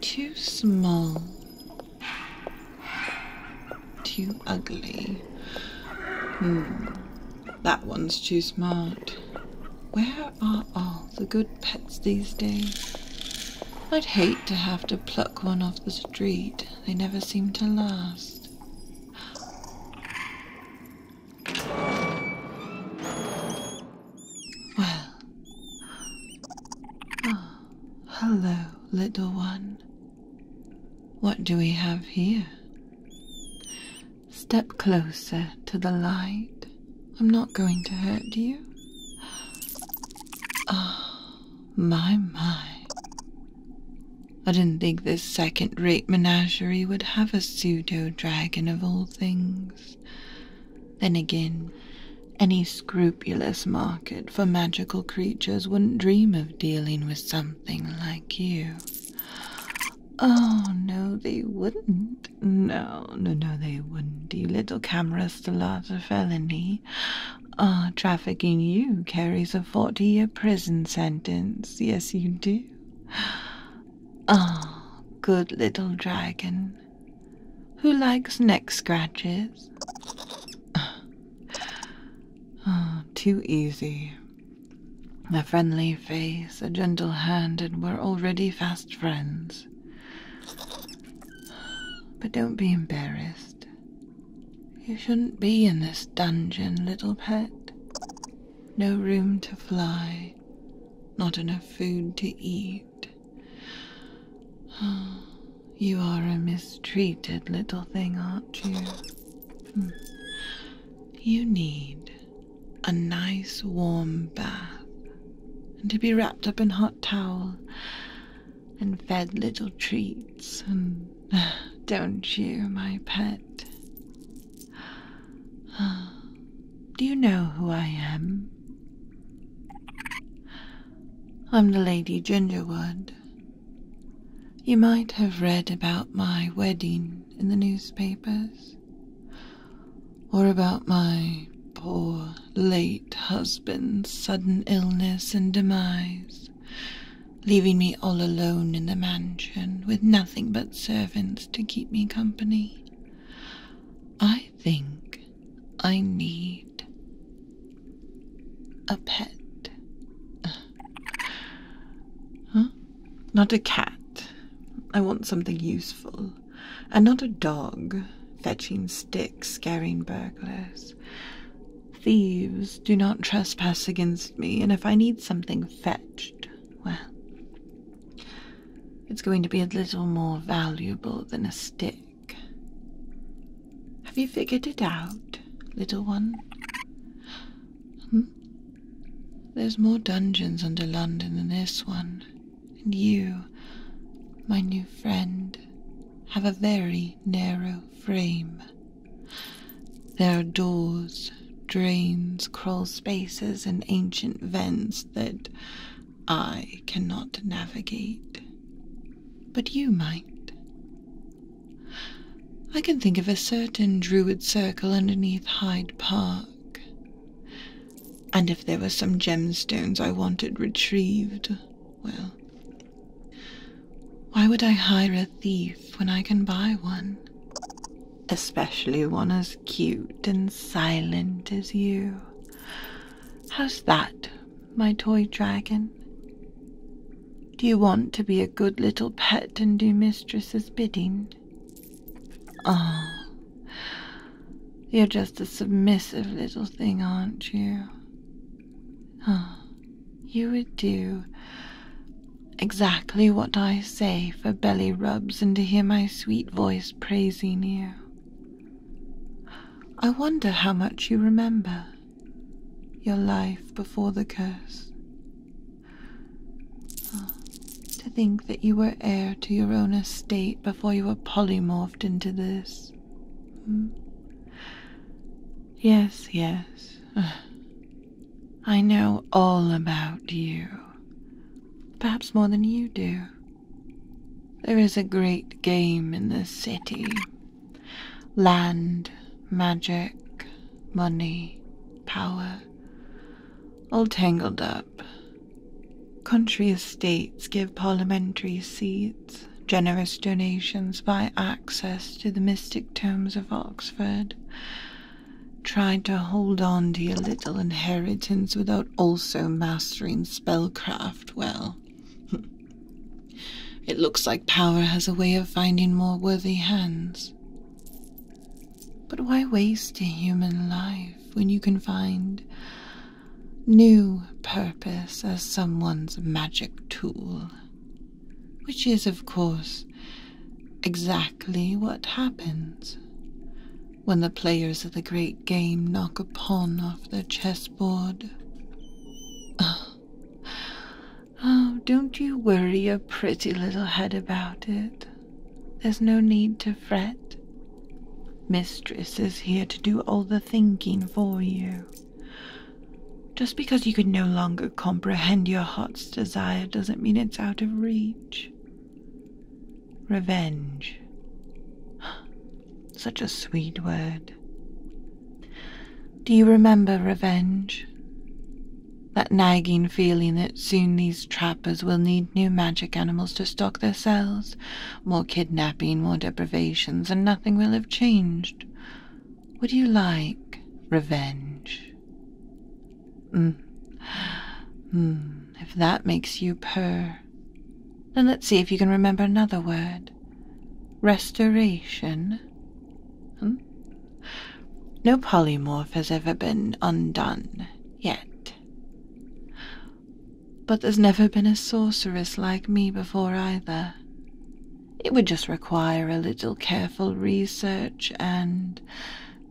Too small. Too ugly. Hmm. That one's too smart. Where are all the good pets these days? I'd hate to have to pluck one off the street. They never seem to last. Well. Oh, hello, little one. What do we have here? Step closer to the light. I'm not going to hurt you. Ah, my, my. I didn't think this second rate menagerie would have a pseudo dragon of all things. Then again, any scrupulous market for magical creatures wouldn't dream of dealing with something like you. Oh, no, they wouldn't. No, no, no, they wouldn't. You little camera stillate's a felony. Ah, trafficking you carries a forty-year prison sentence. Yes, you do. Ah, good little dragon. Who likes neck scratches? oh, too easy. A friendly face, a gentle hand, and we're already fast friends. But don't be embarrassed. You shouldn't be in this dungeon, little pet no room to fly, not enough food to eat. Ah, you are a mistreated little thing, aren't you? Hmm. You need a nice warm bath, and to be wrapped up in hot towel, and fed little treats, and don't you, my pet? Do you know who I am? I'm the Lady Gingerwood. You might have read about my wedding in the newspapers, or about my poor late husband's sudden illness and demise leaving me all alone in the mansion with nothing but servants to keep me company. I think I need a pet. Huh? Not a cat. I want something useful, and not a dog fetching sticks, scaring burglars. Thieves, do not trespass against me, and if I need something fetched, well, it's going to be a little more valuable than a stick. Have you figured it out, little one? Hmm? There's more dungeons under London than this one, and you, my new friend, have a very narrow frame. There are doors, drains, crawl spaces, and ancient vents that I cannot navigate. But you might. I can think of a certain druid circle underneath Hyde Park. And if there were some gemstones I wanted retrieved, well, why would I hire a thief when I can buy one? Especially one as cute and silent as you. How's that, my toy dragon? Do you want to be a good little pet and do mistress's bidding? Ah, you're just a submissive little thing, aren't you? Ah, you would do exactly what I say for belly rubs and to hear my sweet voice praising you. I wonder how much you remember your life before the curse. to think that you were heir to your own estate before you were polymorphed into this. Hmm. Yes, yes. I know all about you. Perhaps more than you do. There is a great game in the city land, magic, money, power, all tangled up. Country estates give parliamentary seats generous donations by access to the mystic tomes of Oxford, tried to hold on to your little inheritance without also mastering spellcraft well. it looks like power has a way of finding more worthy hands. But why waste a human life when you can find new purpose as someone's magic tool? Which is, of course, exactly what happens when the players of the great game knock a pawn off their chessboard. Oh. oh, don't you worry your pretty little head about it. There's no need to fret. Mistress is here to do all the thinking for you. Just because you can no longer comprehend your heart's desire doesn't mean it's out of reach. Revenge. Such a sweet word. Do you remember revenge? That nagging feeling that soon these trappers will need new magic animals to stock their cells more kidnapping, more deprivations, and nothing will have changed. Would you like revenge? Mm. Mm. If that makes you purr, then let's see if you can remember another word. Restoration. Hmm? No polymorph has ever been undone yet. But there's never been a sorceress like me before either. It would just require a little careful research and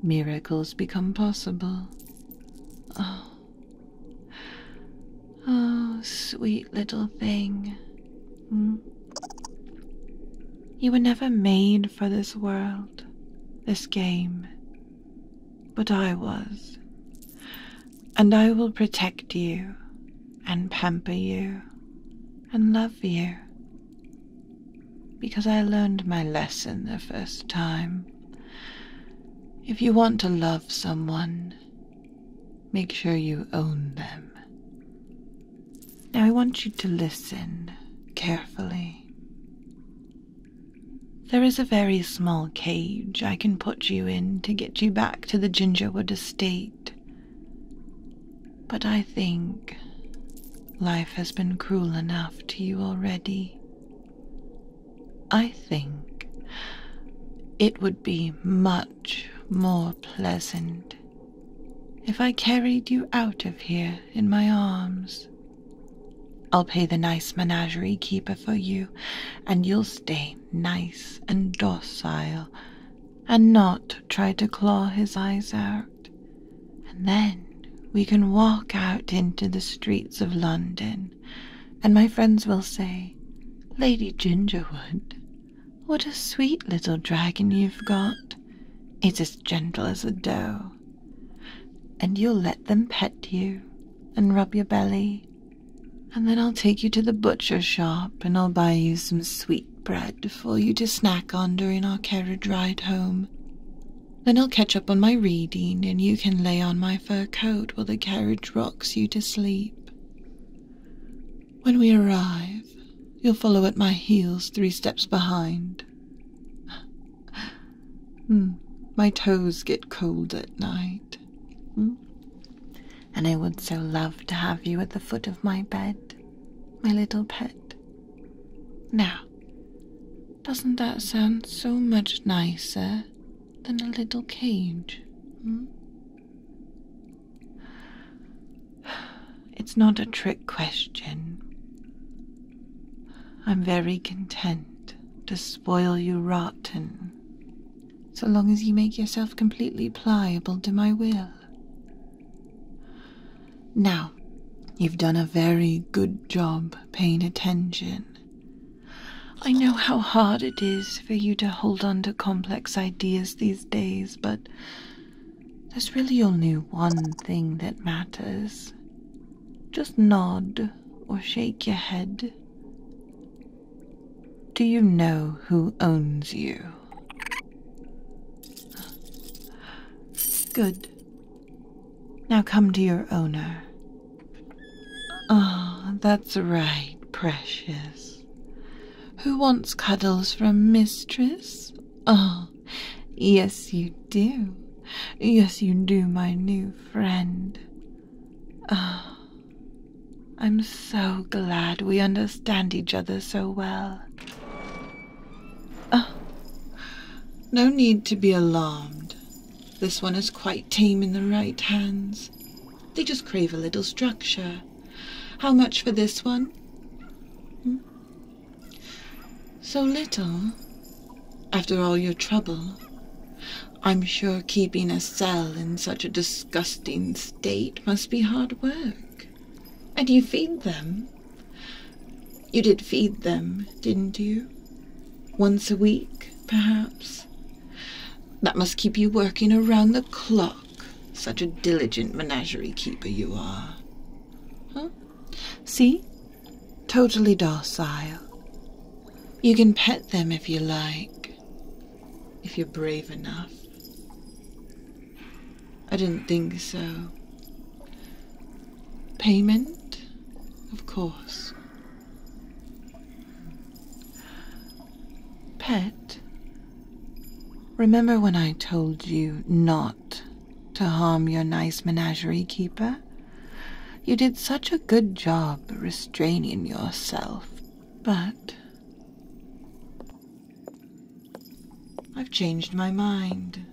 miracles become possible. Oh. Oh, sweet little thing. Hmm? You were never made for this world, this game. But I was and I will protect you and pamper you and love you. Because I learned my lesson the first time. If you want to love someone, make sure you own them. Now I want you to listen carefully. There is a very small cage I can put you in to get you back to the Gingerwood estate. But I think life has been cruel enough to you already. I think it would be much more pleasant if I carried you out of here in my arms I'll pay the nice menagerie keeper for you, and you'll stay nice and docile, and not try to claw his eyes out. And then we can walk out into the streets of London, and my friends will say, Lady Gingerwood, what a sweet little dragon you've got. It's as gentle as a doe. And you'll let them pet you and rub your belly and then I'll take you to the butcher shop and I'll buy you some sweet bread for you to snack on during our carriage ride home. Then I'll catch up on my reading and you can lay on my fur coat while the carriage rocks you to sleep. When we arrive, you'll follow at my heels three steps behind. Hmm. My toes get cold at night. Hmm. And I would so love to have you at the foot of my bed, my little pet. Now, doesn't that sound so much nicer than a little cage? Hmm. It's not a trick question. I'm very content to spoil you rotten, so long as you make yourself completely pliable to my will. Now, you've done a very good job paying attention. I know how hard it is for you to hold on to complex ideas these days, but there's really only one thing that matters, just nod or shake your head. Do you know who owns you? Good. Now come to your owner. Ah, that's right, precious. Who wants cuddles from mistress? Ah, yes, you do. Yes, you do, my new friend. ah, I'm so glad we understand each other so well. Oh, no need to be alarmed. This one is quite tame in the right hands. They just crave a little structure. How much for this one? Hmm? So little, after all your trouble. I'm sure keeping a cell in such a disgusting state must be hard work. And you feed them. You did feed them, didn't you? Once a week, perhaps? That must keep you working around the clock, such a diligent menagerie keeper you are. Huh? See? totally docile. You can pet them if you like, if you're brave enough. I didn't think so. Payment, of course. Pet, remember when I told you not to harm your nice menagerie keeper. You did such a good job restraining yourself, but I've changed my mind.